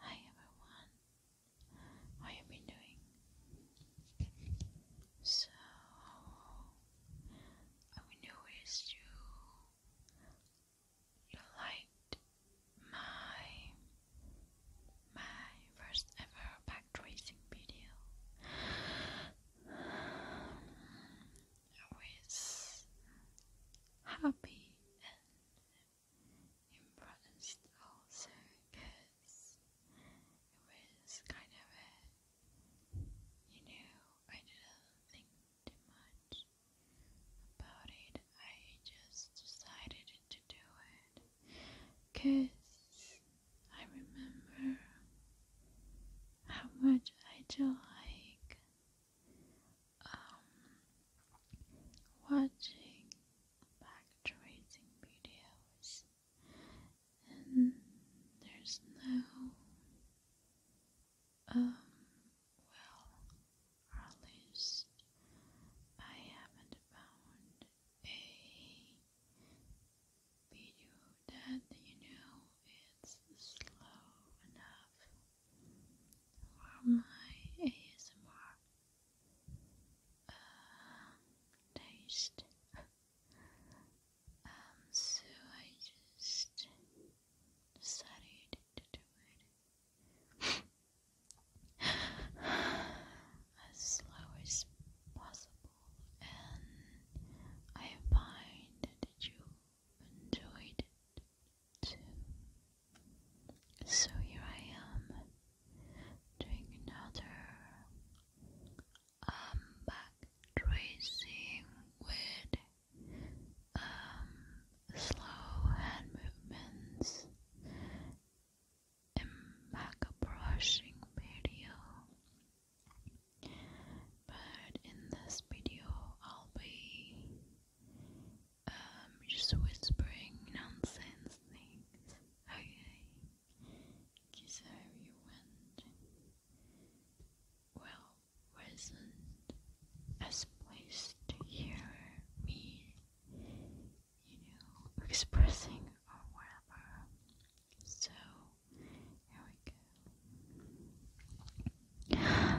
Hi everyone, how you been doing? So, all we do is my my first ever back video with happy impressed also oh, because it was kind of you know, I didn't think too much about it. I just decided to do it because I remember how much I do like um, watching back tracing videos, and there's no, um, well, at least I haven't found a video that you know it's slow enough for my ASMR taste. so I just decided to do it as slow as possible, and I find that you enjoyed it. So here I am doing another um back tracing with um slow hand movements and back brushing video. But in this video, I'll be um, just whispering nonsense things. Okay, so you went. Well, wasn't as place to hear me, you know, expressing or whatever. So here we go.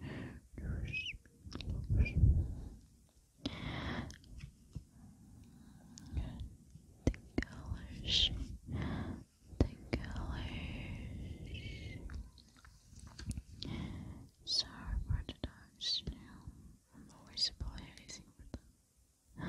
colors, the colors. Sorry for the dogs I'm always apologizing for them.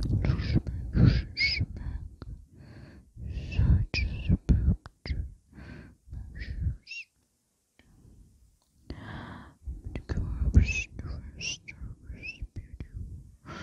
Such as a picture. The corpse, the rest, the rest, beautiful.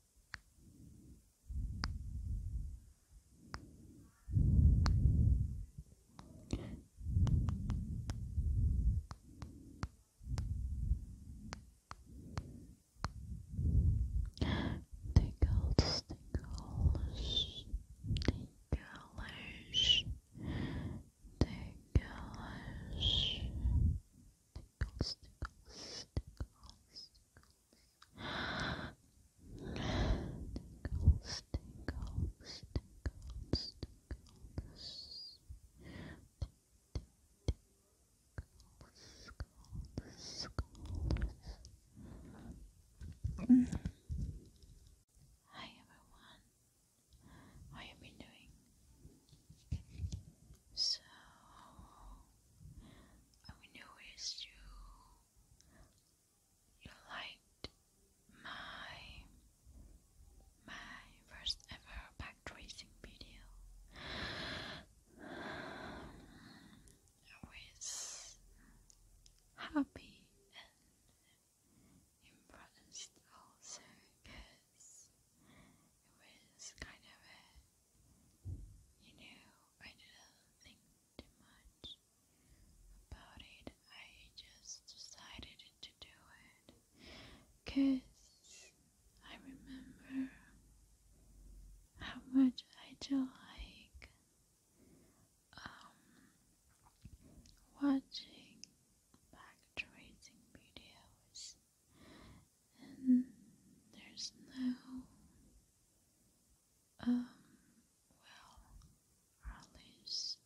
Tickles, tickles, ticklish, ticklish, tickles, tickles, tickles, tickles, tickles, tickles, tickles, tickles. Hi everyone, how have you been doing? So I will you you liked my my first ever back video I was happy and impressed also because it was kind of you know, I didn't think too much about it. I just decided to do it because I remember how much I do like um, watching back tracing videos and there's no um well at least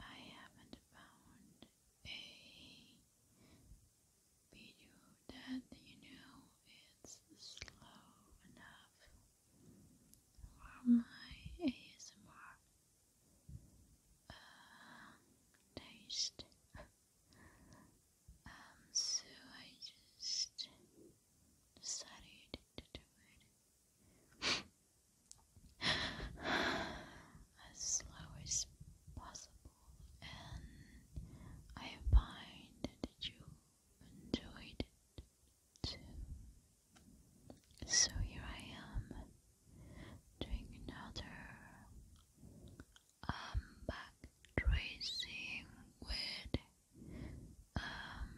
I haven't found a video that you know it's slow enough for my ASMR uh, taste. Um, so I just decided to do it as slow as possible, and I find that you enjoyed it too. So here I am Drink another. I'm back tracing with um,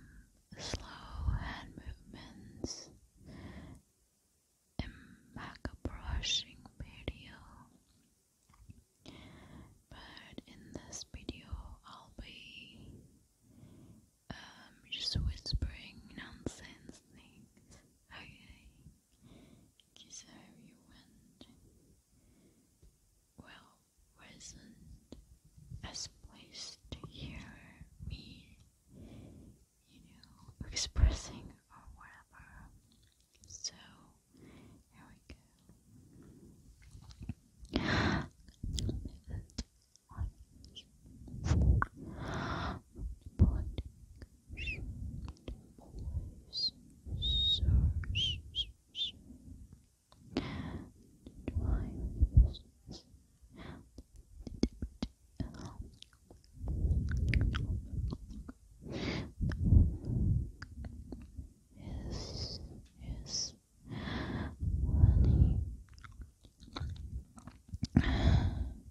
slow hand movements in back brushing video. But in this video, I'll be um, just whispering nonsense things. Okay because everyone well wasn't as pleased to me, you know, expressing or whatever. So here we go always search Yes, yes,